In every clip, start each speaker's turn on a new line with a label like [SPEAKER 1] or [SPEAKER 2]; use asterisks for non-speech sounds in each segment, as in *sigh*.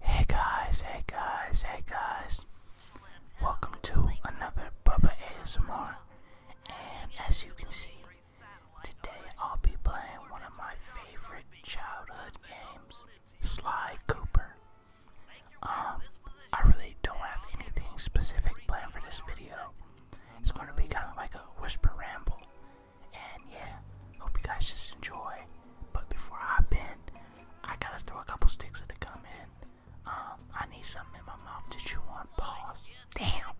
[SPEAKER 1] Hey guys, hey guys, hey guys. Welcome to another Bubba ASMR. And as you can see, today I'll be playing one of my favorite childhood games, Sly Cooper. Um, I really don't have anything specific planned for this video. It's going to be kind of like a whisper ramble. And yeah, hope you guys just enjoy. But before I hop in, I gotta throw a couple sticks in to come in. Um, I need something in my mouth to chew on. Pause. Damn.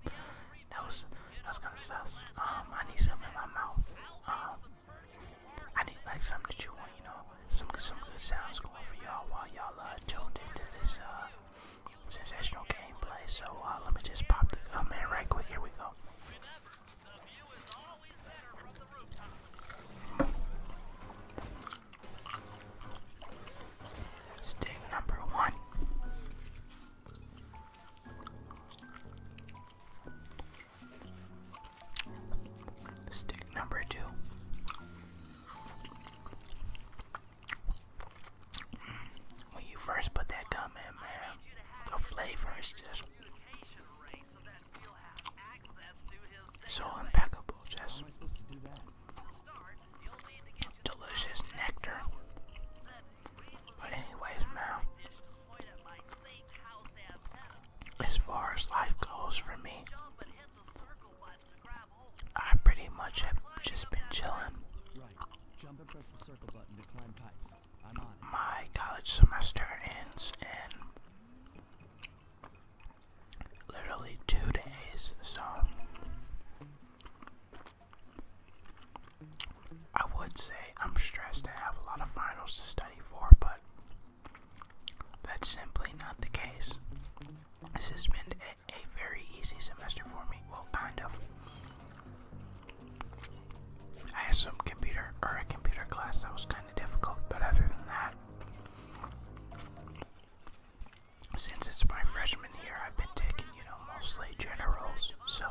[SPEAKER 1] That was that was gonna sus. Um, I need something in my mouth. Um, I need like something to chew on. You know, some some good sounds going for y'all while y'all uh, tuned into this uh, sensational gameplay. So uh, let me just pop the gum in right quick. Here we go. Stick number one. Stick number two. When you first put that gum in, man, the flavor is just so impeccable, Jess. Delicious nectar. But anyways, now, as far as life goes for me, I pretty much have just been chilling. Right. Jump and press the circle button to climb pipes my college semester ends in literally two days, so I would say I'm stressed. I have a lot of finals to study for, but that's simply not the case. This has been a, a very easy semester for me. Well, kind of. I had some computer or a computer class that was kind difficult, but other than that, since it's my freshman year, I've been taking, you know, mostly generals, so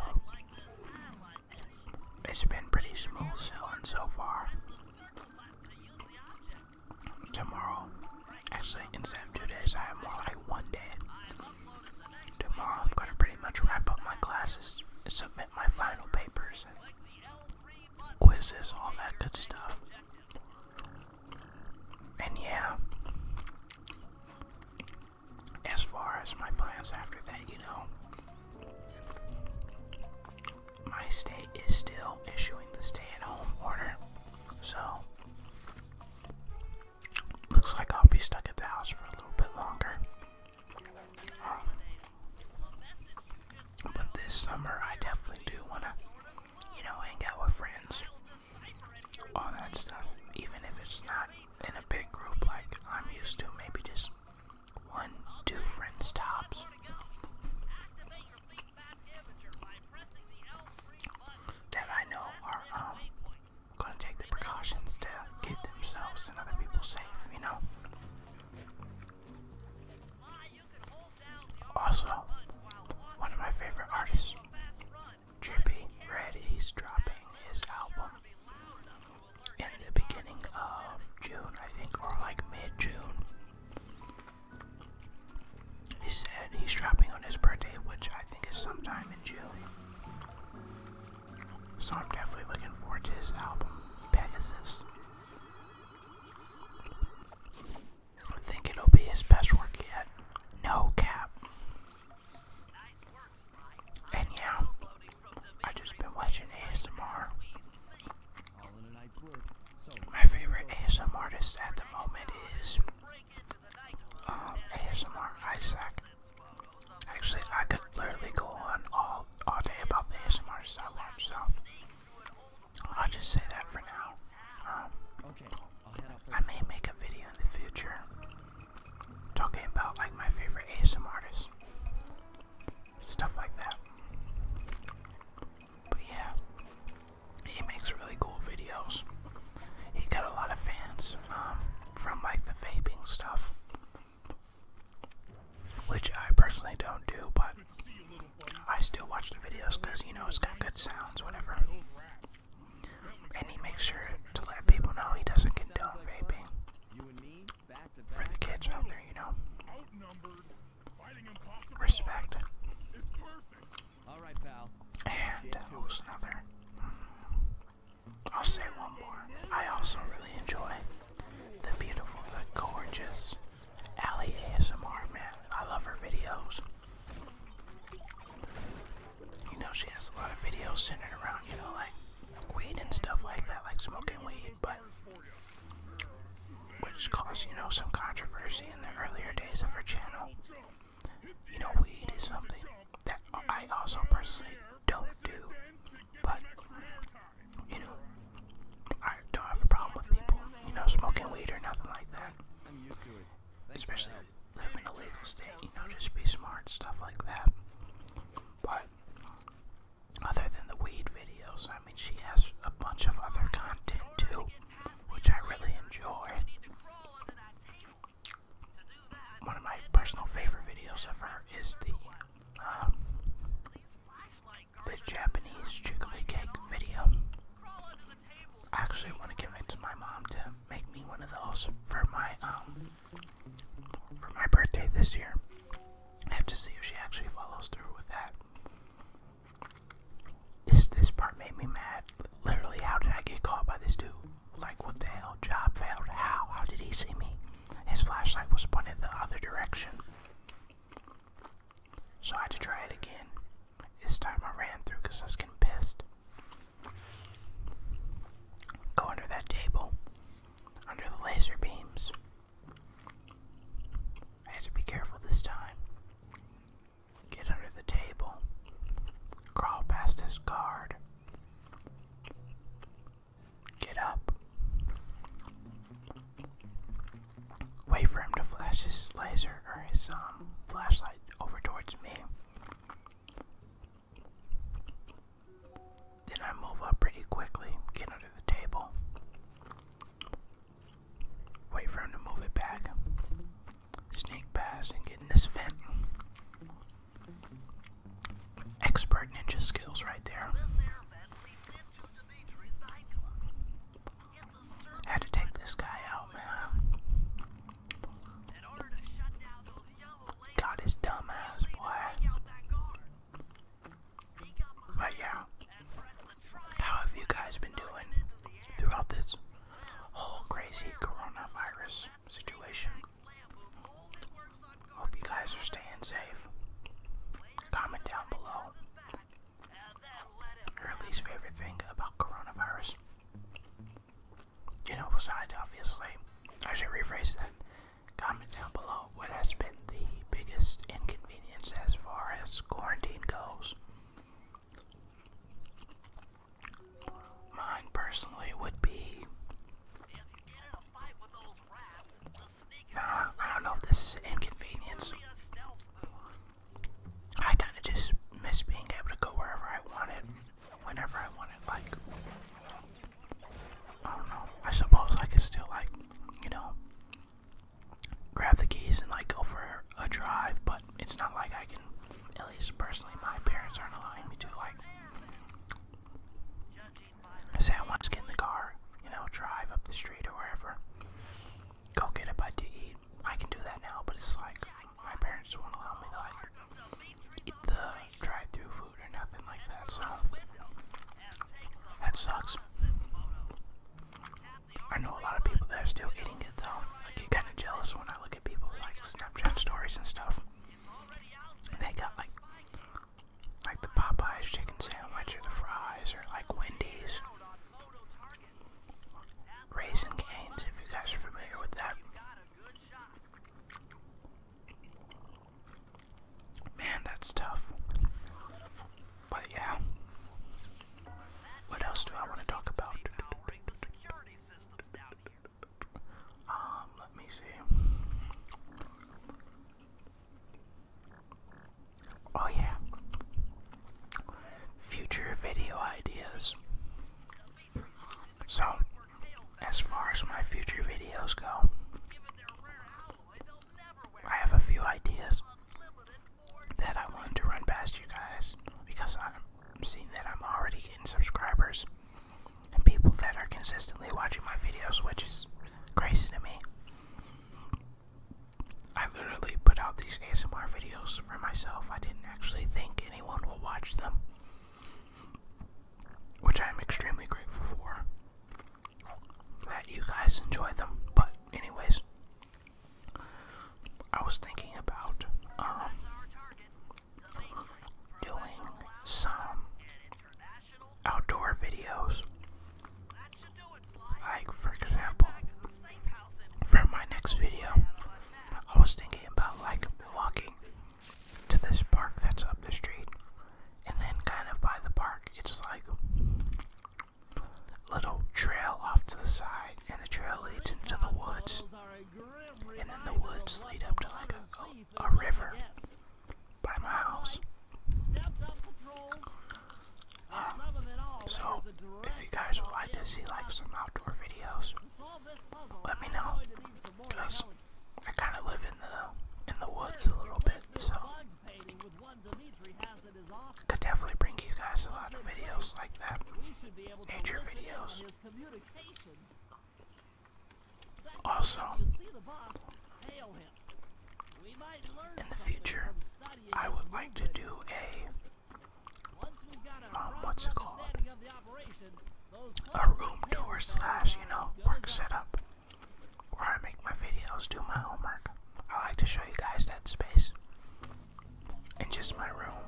[SPEAKER 1] it's been pretty smooth sailing so far. Tomorrow, actually, instead of two days, I have more like one day. Tomorrow, I'm going to pretty much wrap up my classes, submit my final papers, quizzes, all that good stuff. And yeah, as far as my plans after that, you know, my state is still issuing the stay at home order. So, looks like I'll be stuck at the house for a little bit longer but this summer, I definitely do want to, you know, hang out with friends, all that stuff, even if it's not in a big group like I'm used to, maybe just one, two friends tops. That I know are um, going to take the precautions to keep themselves and other people safe, you know? Also, one of my favorite artists, Trippy Red, he's dropping his album in the beginning of June, I think, or like mid June. He said he's dropping on his birthday, which I think is sometime in June. So I'm definitely looking forward to his album, Pegasus. I think it'll be his best work yet. No cap. And yeah, I just been watching ASMR. My favorite ASMR artist at the moment is um, ASMR Isaac. Actually, I could literally go on all all day about the ASMR I so I'll just say that for now. Um, I may make a video in the future talking about like my favorite ASM artists, stuff like that. But yeah, he makes really cool videos. He got a lot of fans um, from like the vaping stuff which I personally don't do, but I still watch the videos because you know it's got good sounds, whatever. And he makes sure to let people know he doesn't condone vaping for the kids out there, you know. Respect. And uh, who's another? I'll say one more. I also really enjoy the beautiful, the gorgeous Allie ASMR, man. I love her videos. You know, she has a lot of videos centered around, you know, like weed and stuff like that, like smoking weed, but which caused, you know, some controversy in the earlier days of her channel. You know, weed is something that I also personally don't do, but you know, I don't have a problem with people, you know, smoking weed or nothing like that. Especially if you live in a legal state, you know, just be smart, stuff like that. But other than the weed videos, I mean, she has a bunch of other content too, which I really enjoy. One of my personal favorite videos of her is the the Japanese chocolate cake video. I actually want to convince my mom to make me one of those for my um for my birthday this year. I have to see if she actually follows through with that. this part made me mad. Literally, how did I get caught by this dude? Like, what the hell? Job failed. How? How did he see me? His flashlight was pointed the other direction. So I had to try it again. This time I ran through because I was getting pissed. Go under that table, under the laser beams. I had to be careful this time. Get under the table, crawl past his guard, Get up. Wait for him to flash his laser or his um, flashlight over towards me. Then I move up pretty quickly, get under the table. Wait for him to move it back. Sneak past and get in this vent. Expert ninja skills right there. Had to take this guy out, man. Got his dumb boy. But yeah, how have you guys been doing throughout this whole crazy coronavirus situation? Hope you guys are staying safe. Comment down below your least favorite thing about coronavirus. You know, besides obviously, I should rephrase that. Comment down below what has been the biggest inconvenience as far as quarantine goes. Mine personally would be Nah, I don't know if this is an inconvenience. I kind of just miss being able to go wherever I wanted, whenever I wanted. Like, I don't know. I suppose I could still, like, you know, grab the keys and, like, go for a drive, but it's not like I can, at least personally, my parents aren't allowing me to, like, Say I want to get in the car, you know, drive up the street or wherever, go get a bite to eat. I can do that now, but it's like my parents won't allow me to like eat the drive-through food or nothing like that. So that sucks. I know a lot of people that are still eating it though. I get kind of jealous when I look at people's like Snapchat stories and stuff. They got like like the Popeyes chicken sandwich or the fries or like Wendy's. Raisin Canes, if you guys are familiar with that. Man, that's tough. But yeah. What else do I want to talk about? Um, let me see. Oh, yeah. Future video ideas. So, as far as my future videos go, I have a few ideas that I wanted to run past you guys because I'm seeing that I'm already getting subscribers and people that are consistently watching my videos, which is crazy to me. I literally put out these ASMR videos for myself. I didn't actually think anyone will watch them, which I am extremely grateful for. That you guys enjoy them, but anyways, I was thinking about um, doing some outdoor videos. Like, for example, for my next video, I was thinking about like walking to this park that's up the street, and then kind of by the park, it's like a little trail off to the side, and the trail leads into the woods, and then the woods lead up to like a a river by my house. so, if you guys would like to see like some outdoor videos, let me know. Cause I kind of live in the in the woods a little bit, so could definitely bring you guys a lot of videos like that, nature videos. Also, in the future, I would like to do a um, what's it called? A room tour slash, you know, work setup where I make my videos, do my homework. I like to show you guys that space and just my room,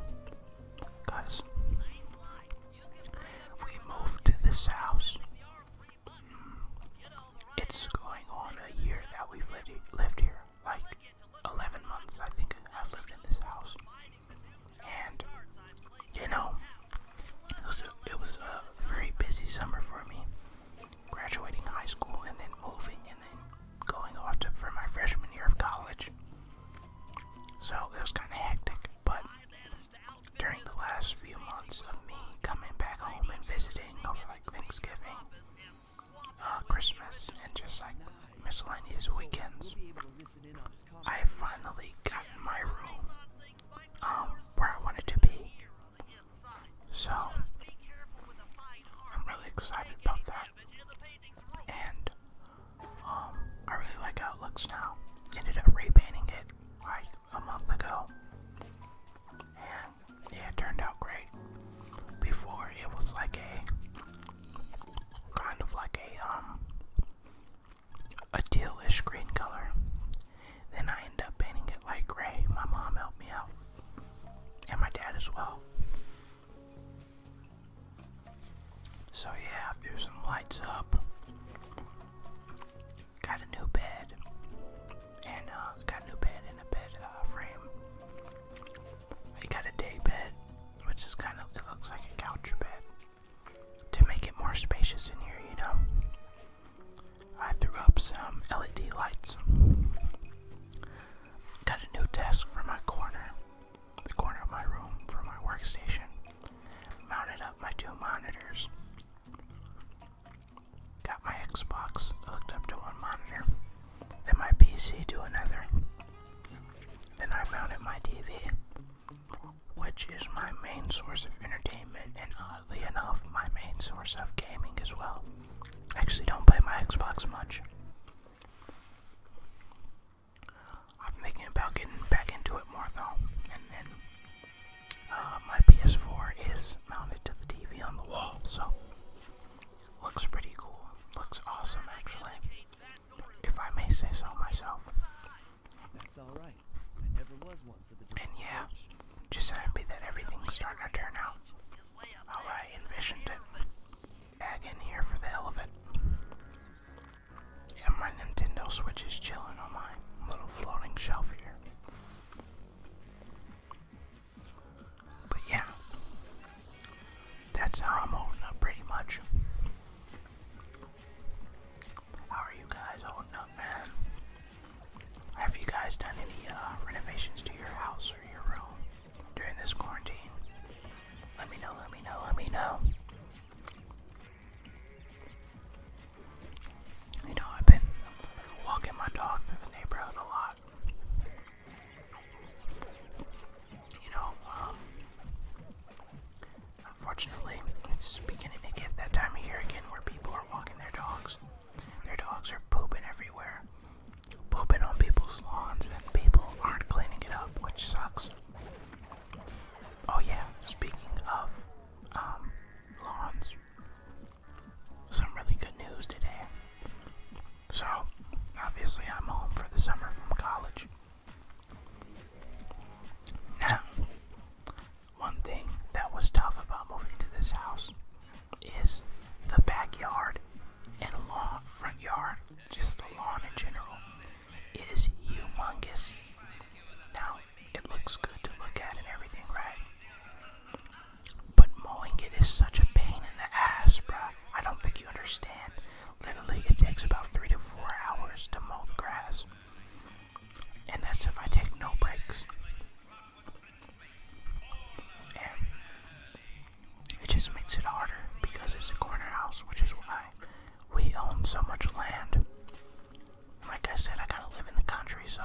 [SPEAKER 1] cause we moved to this house it's going on a year that we've lived, here, like 11 months, I think I've lived in this house. And, you know, it was a, it was a very busy summer for me, graduating high school and then moving and then going off to, for my freshman year of college. So it was kind of hectic, but during the last few months of me coming back home and visiting over like Thanksgiving, uh, Christmas, and just like miscellaneous weekends, I finally got in my room um, where I wanted to be. So, I'm really excited about that. And, um, I really like how it looks now. Ended up repainting it like a month ago. And yeah, it turned out great. Before it was like a kind of like a um a tealish green color. Then I ended up painting it light gray. My mom helped me out. And my dad as well. So yeah, I threw some lights up got a new bed and uh, got a new bed and a bed uh, frame. I got a day bed, which is kind of it looks like a couch bed to make it more spacious in here, you know. I threw up some LED lights. Got a new desk for my corner, the corner of my room for my workstation. Mounted up my two monitors Got my Xbox hooked up to one monitor, then my PC to another. Then I mounted my TV, which is my main source of entertainment, and oddly enough, my main source of gaming as well. Actually, don't play my Xbox much. I'm thinking about getting back into it more though, uh, my PS4 is mounted to the TV on the wall, so looks pretty cool. Looks awesome, actually. If I may say so myself. That's all right. And yeah, just happy that everything's starting to turn out how I envisioned it. Back in here for the hell of it. And my Nintendo Switch is chilling on my little floating shelf here. But yeah, that's how I'm holding up pretty much. How are you guys holding up, man? Have you guys done any uh, renovations to your house or your room during this quarantine? Let me know, let me know, let me know. You know, I've been walking my dog through the neighborhood a lot. You know, um, unfortunately, it's beginning to get that time of year again where people are walking their dogs. Their dogs are pooping everywhere, pooping on people's lawns, and people aren't cleaning it up, which sucks. Oh, yeah, speaking of um, lawns. Some really good news today. So, obviously, I'm home for the summer from college. Now, one thing that was tough about moving to this house is the backyard and lawn, front yard, just the lawn in general, is humongous. Now, it looks good to look at and everything, right? But mowing it is such a pain in the ass, bro. I don't think you understand. Literally, it takes about three to four hours to mow the grass. And that's if I take no breaks. And it just makes it harder because it's a corner house, which is why we own so much land. Like I said, I kind of live in the country, so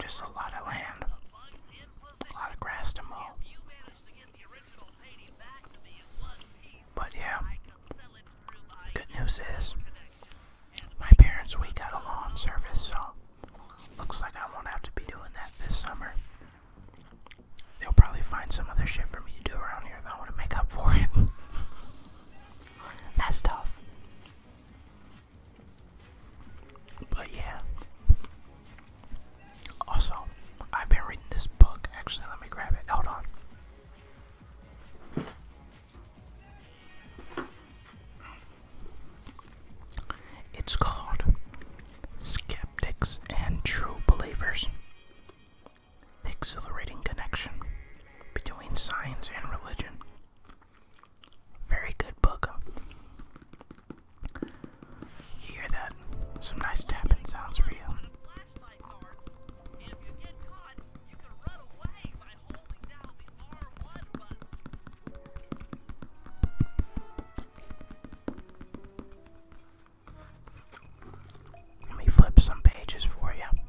[SPEAKER 1] just a lot of land, a lot of grass to mow. But yeah, good news is my parents we got a lawn service, so looks like I won't have to be doing that this summer. They'll probably find some other shit for me to do around here though, I want to make up for it. *laughs* That's tough. But yeah. Also, I've been reading this book. Actually, let me grab it. Hold on. It's called Skeptics and True Believers the exhilarating connection between science and religion. Very good book. You hear that? Some nice tapping sounds for Let me flip some pages for you.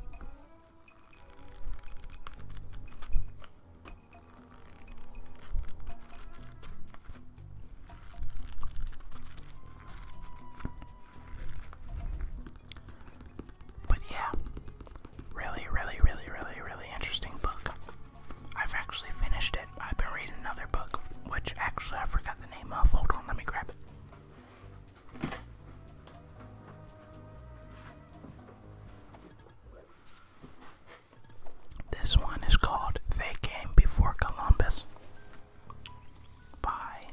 [SPEAKER 1] But yeah, really, really, really, really, really interesting book. I've actually finished it. I've been reading another book, which actually I forgot the name of. Hold on, let me grab it. This one is called They Came Before Columbus by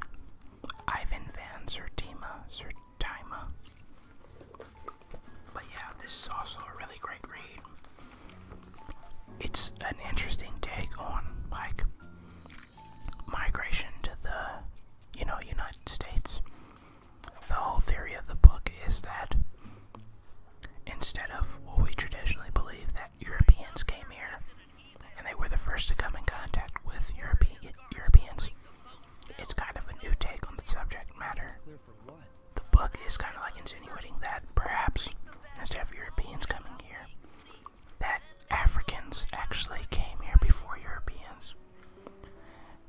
[SPEAKER 1] Ivan Sertima. Sertima. But yeah, this is also a really great read. It's an interesting take on like migration to the, you know, United States. The whole theory of the book is that instead of what we traditionally believe that Europeans came here and they were the first to come in contact with Europe Europeans, it's kind of a new take on the subject matter. The book is kind of like insinuating that perhaps instead of Europeans coming here, that Africans actually came here before Europeans.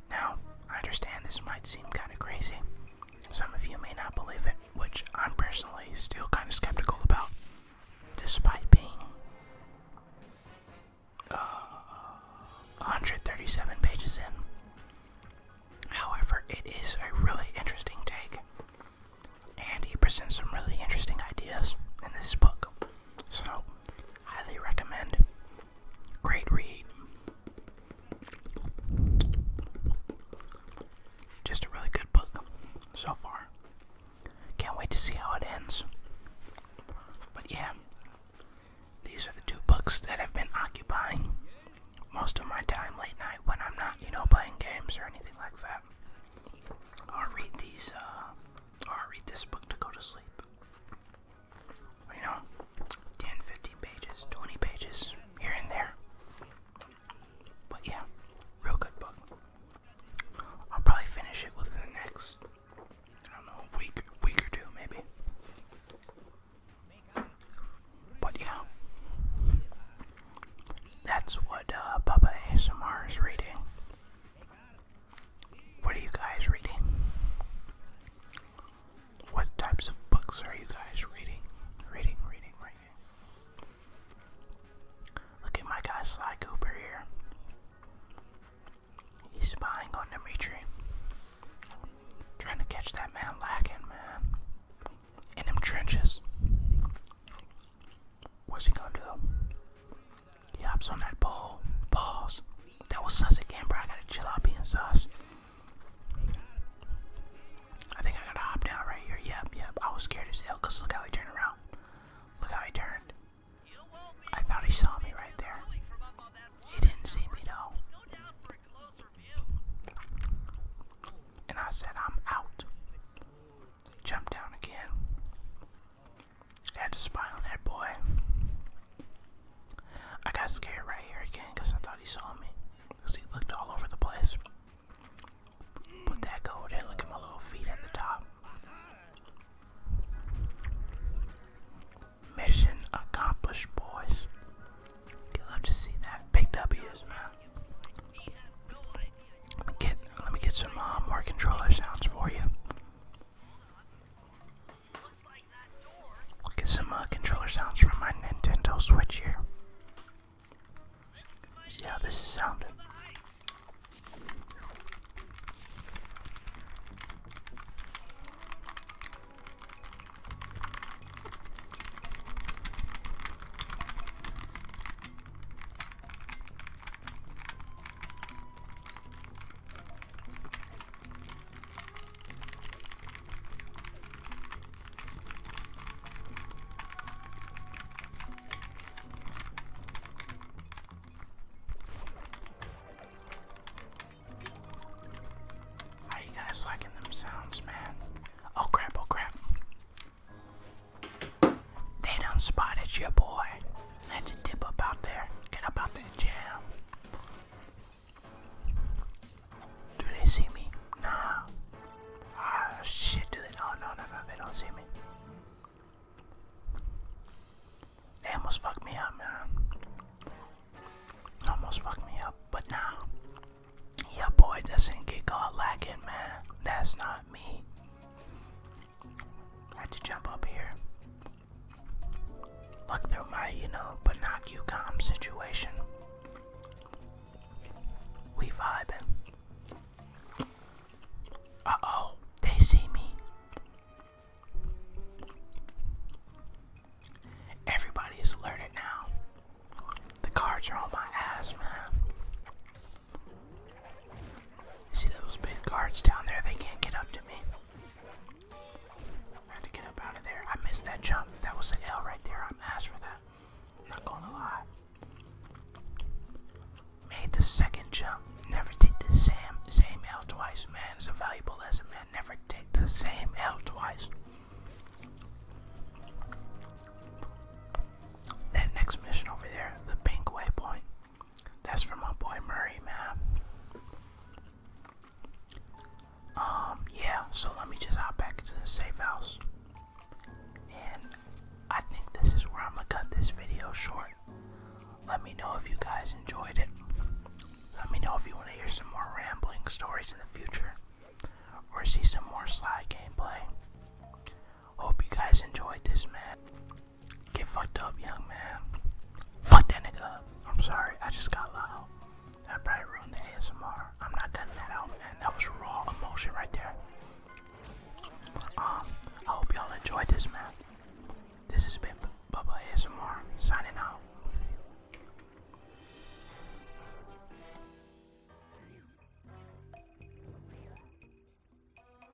[SPEAKER 1] Now, I understand this might seem kind of crazy. Some of you may not believe it, which I'm personally still kind of skeptical about, despite being 137 uh, pages in. However, it is a really interesting take, and he presents some really interesting ideas in this book. So, Highly recommend. Great read. Just a really good book so far. Can't wait to see how it ends. But yeah, these are the two books that have been occupying most of my time late night when I'm not, you know, playing games or anything like that. I'll read these uh, or I'll read this book to go to sleep. You know, 10, pages, 20 pages, here and there. But yeah, real good book. I'll probably finish it within the next, I don't know, week, week or two maybe. But yeah, that's what uh, Papa ASMR is reading. What are you guys reading? What types of books are you guys reading? Reading, reading, reading. Look at my guy Sly Cooper here. He's spying on Dimitri. Trying to catch that man lacking, man. In them trenches. What's he gonna do? He hops on that ball. Balls. That was sus again, bro. I gotta chill out being sus. I think I gotta hop down right here. Yep, yep. I was scared as hell because look how he turned around. Look how he turned. I thought he saw me right there. He didn't see me though. And I said, I'm out. Jump down again. Had to spy on that boy. I got scared right here again because I thought he saw me. Because he looked all over the place. Put that code in. Look at my little feet at the top. Mission accomplished, boys. You love to see that. Big W's, man. Let me get, let me get some uh, more controller sounds for you. I'll get some uh, controller sounds from my Nintendo Switch here. See how this is sounding. How you guys liking them sounds, man? Oh crap, oh crap. They done spotted your boy. That's a dip up out there. Get up out that jam. Do they see me? Nah. Ah, shit, do they? Oh, no, no, no, they don't see me. They almost fucked me up, man. Almost fucked me up, but nah. Your boy doesn't get caught lacking, man. That's not me. I had to jump up here. Look through my, you know, but not situation. We vibing. Uh oh, they see me. Everybody is alerted now. The cards are on my ass, man. See those big guards down there? They can't get up to me. I to get up out of there. I missed that jump. That was an L right there. I'm asked for that. I'm not gonna lie. Made the second jump. Never take the same same L twice, man. It's a valuable a man. Never take the same L twice. That next mission over there, the pink waypoint. That's for my boy Murray, man. Um, yeah, so let me just hop back into the safe house. And I think this is where I'm gonna cut this video short. Let me know if you guys enjoyed it. Let me know if you want to hear some more rambling stories in the future or see some more slide gameplay. Hope you guys enjoyed this, man. Get fucked up, young man. Fuck that nigga I'm sorry, I just got loud. I probably ruined the ASMR. I'm not cutting that out, man. That was raw emotion right there. Um, I hope y'all enjoyed this, man. This has been Bubba ASMR signing out.